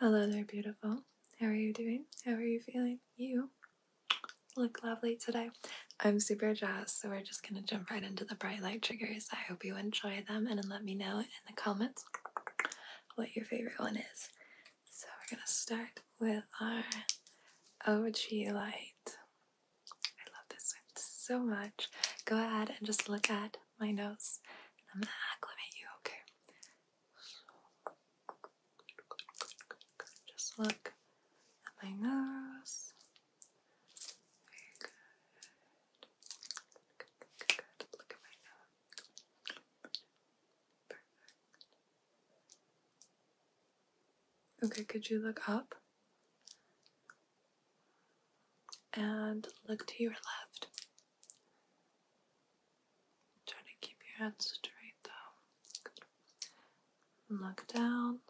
Hello there, beautiful. How are you doing? How are you feeling? You look lovely today. I'm super jazzed, so we're just gonna jump right into the bright light triggers. I hope you enjoy them and let me know in the comments what your favorite one is. So we're gonna start with our OG light. I love this one so much. Go ahead and just look at my nose. I'm gonna acclimate you, okay? Just look at my nose. Okay, could you look up? and look to your left. Try to keep your head straight though. Look down. Look down.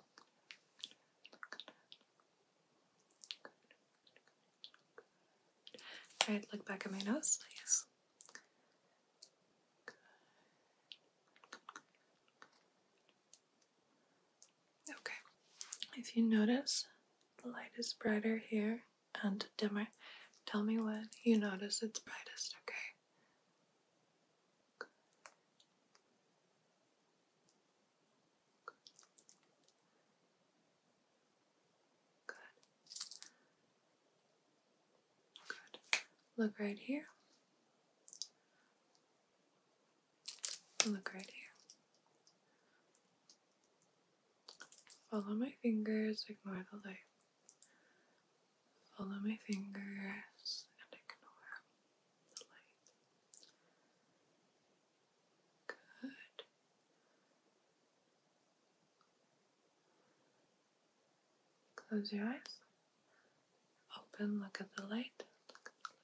look back at my nose, please. Okay, if you notice the light is brighter here and dimmer, tell me when you notice it's brightest, okay? Good. Good. Look right here. Look right here. Follow my fingers, ignore the light. Follow my fingers and ignore the light. Good. Close your eyes. Open, look at the light. Look at the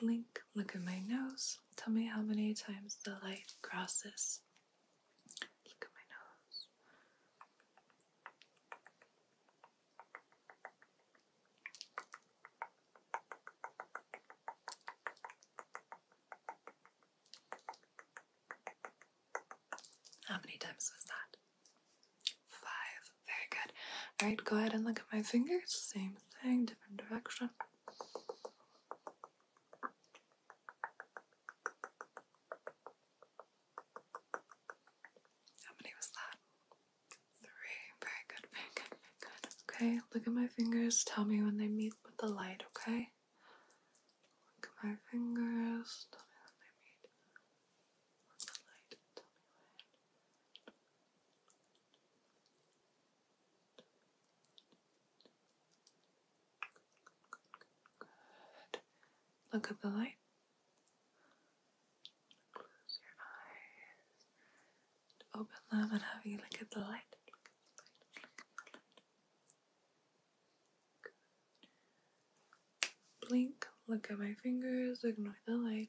Blink, look at my nose. Tell me how many times the light crosses. Look at my nose. How many times was that? Five. Very good. Alright, go ahead and look at my fingers. Same thing, different direction. How many was that? Three. Very good, very good, very good. Okay, look at my fingers. Tell me when they meet with the light, okay? Look at my fingers. Tell me when they meet with the light. Tell me when. Look at the light. Open them and have you look at the light. Blink. Look at my fingers. Ignore the light.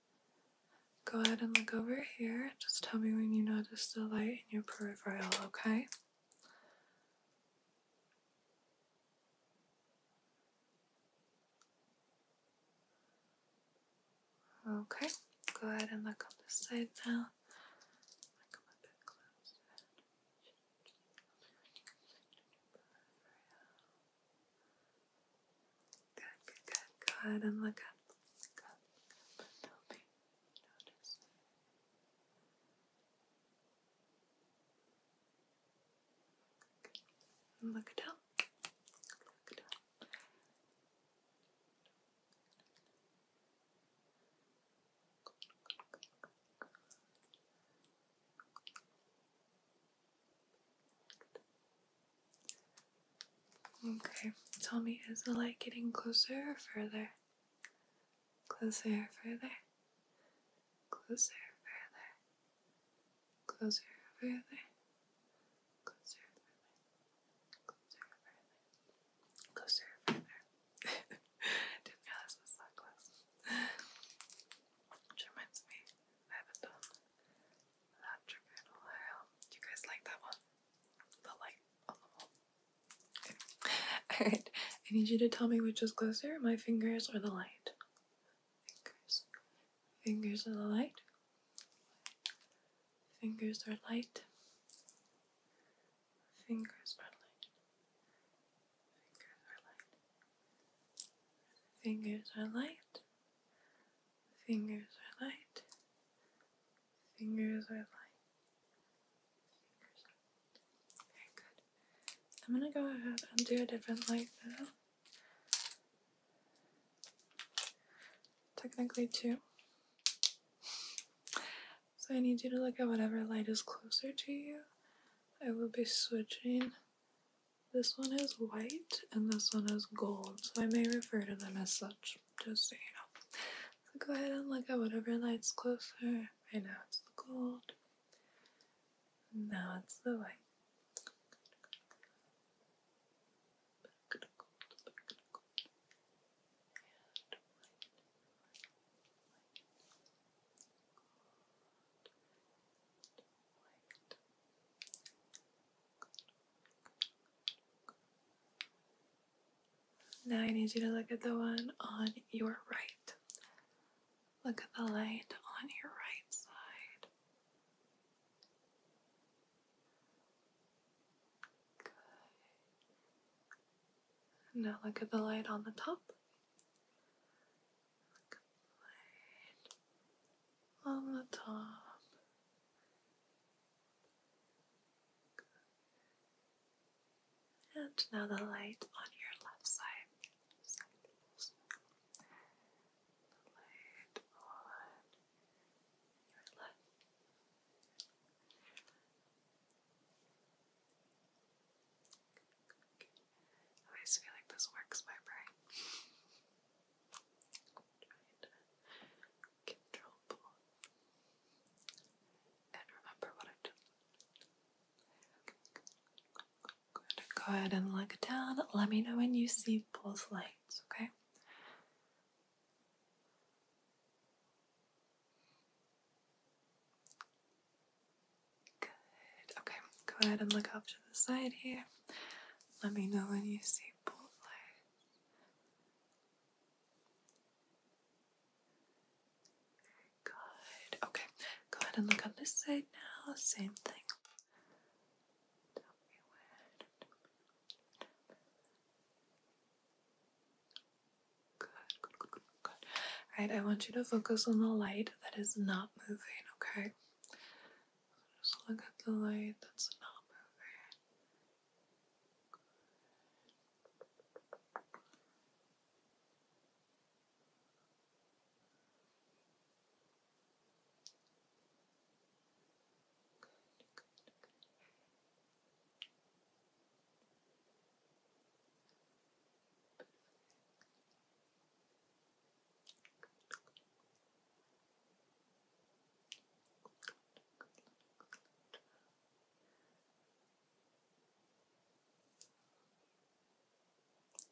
Go ahead and look over here. Just tell me when you notice the light in your peripheral, okay? Okay, go ahead and look on this side now. Good, good, good. Go ahead and look up. Look up, look up, Okay, tell me, is the light getting closer or further? Closer, further. Closer, further. Closer, further. Closer, further. Closer, further. Closer, further. Didn't realize it was that close. Which reminds me, I haven't done you guys like that one? The light on the wall. Alright, I need you to tell me which is closer, my fingers or the light. Fingers. Fingers or the light? Fingers are light? Fingers are light? Fingers or light? Fingers are light. Fingers are light. Fingers are light. Very good. I'm gonna go ahead and do a different light now. Technically two. So I need you to look at whatever light is closer to you. I will be switching this one is white and this one is gold, so I may refer to them as such, just so you know. So go ahead and look at whatever light's closer. Right now it's the gold, now it's the white. Now I need you to look at the one on your right. Look at the light on your right side. Good. Now look at the light on the top. On the top. And now the light on your left side. I always feel like this works my brain. control and remember what I've done. Go ahead and look down. Let me know when you see both lights, okay? Good. Okay, go ahead and look up to the side here. Let me know when you see both lights. Good. Okay, go ahead and look on this side now. Same thing. do Good, good, good, good. Alright, I want you to focus on the light that is not moving, okay? Just look at the light that's not moving.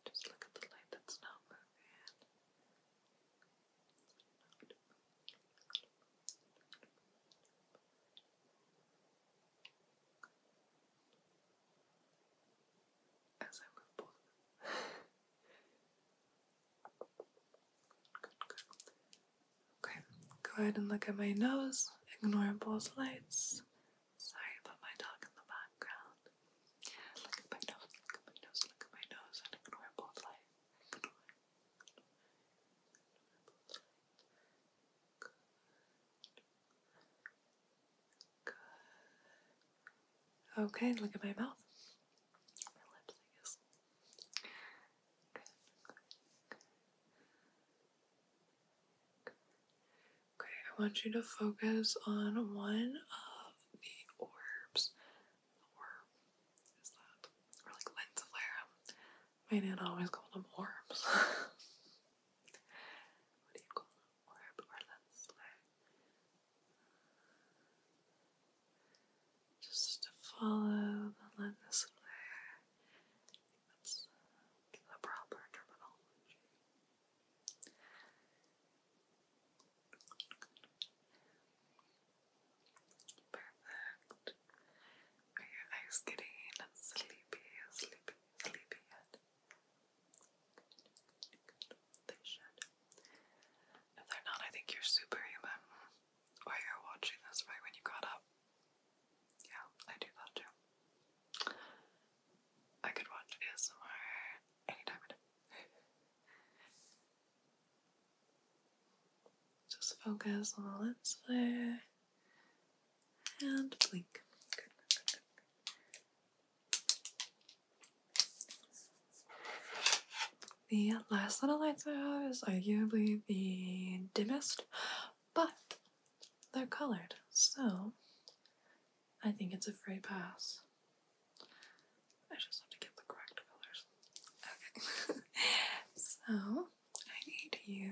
Just look at the light that's not moving. Good. Okay, go ahead and look at my nose. Ignore both lights. Sorry about my dog in the background. Look at my nose, look at my nose, look at my nose, and ignore both lights. Okay, look at my mouth. I Okay, I want you to focus on one of the orbs. The is that, or like lens flare. My dad always called them orbs. what do you call them? orb or lensler. Just to follow the lens flare. That's the proper terminology. Perfect. Are your getting sleepy, sleepy, sleepy yet? They should. If they're not, I think you're superhuman. Or you're watching this right when you got up. Yeah, I do that too. I could watch ASMR anytime Just focus on the lips there and blink. The last little lights I have is arguably the dimmest, but they're colored, so I think it's a free pass. I just have to get the correct colors. Okay. so I need you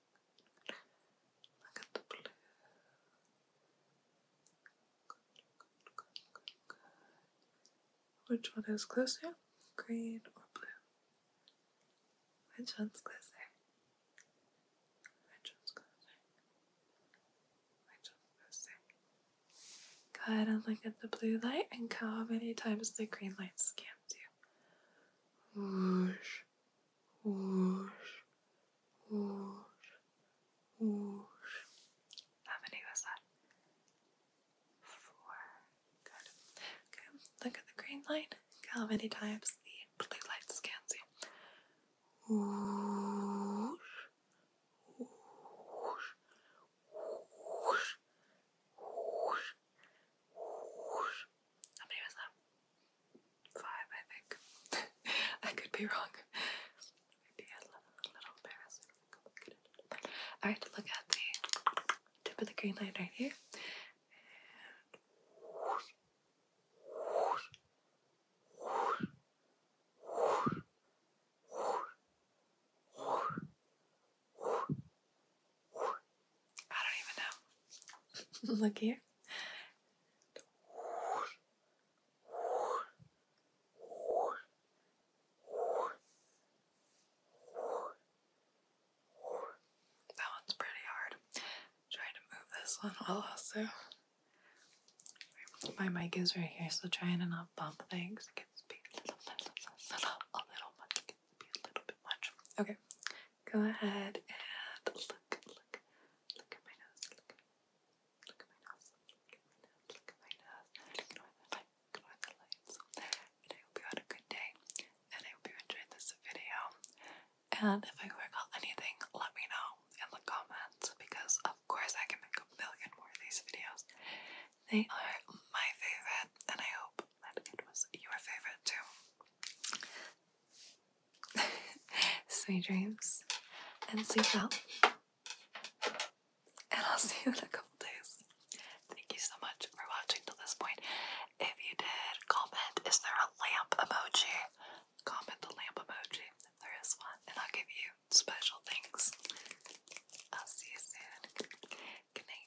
Look at the blue. Which one is closer? Green or blue? Which one's closer? Which one's closer? Go ahead and look at the blue light and count how many times the green light scans you. Whoosh, Whoosh, whoosh, whoosh. How many was that? Four. Good. Okay, look at the green light. Look how many times the blue light scans you. Whoosh, whoosh, whoosh, whoosh, whoosh. How many was that? Five, I think. I could be wrong. Maybe a little, Alright, look at the tip of the green line right here. I don't even know. Look here. That one's pretty hard. Try to move this one while also. My mic is right here, so trying to not bump things it gets a little bit much. Okay, go ahead and look, look, look at my nose. Look, at my nose. Look at my nose. Look at my nose. Ignore the the lights. And I hope you had a good day. And I hope you enjoyed this video. And if I forgot anything, let me know in the comments because of course I can make a million more of these videos. They are my favorite, and I hope that it was your favorite too. sweet dreams and sleep well. And I'll see you in a couple days. Thank you so much for watching till this point. If you did, comment is there a lamp emoji? Comment the lamp emoji there is one, and I'll give you special things. I'll see you soon. Good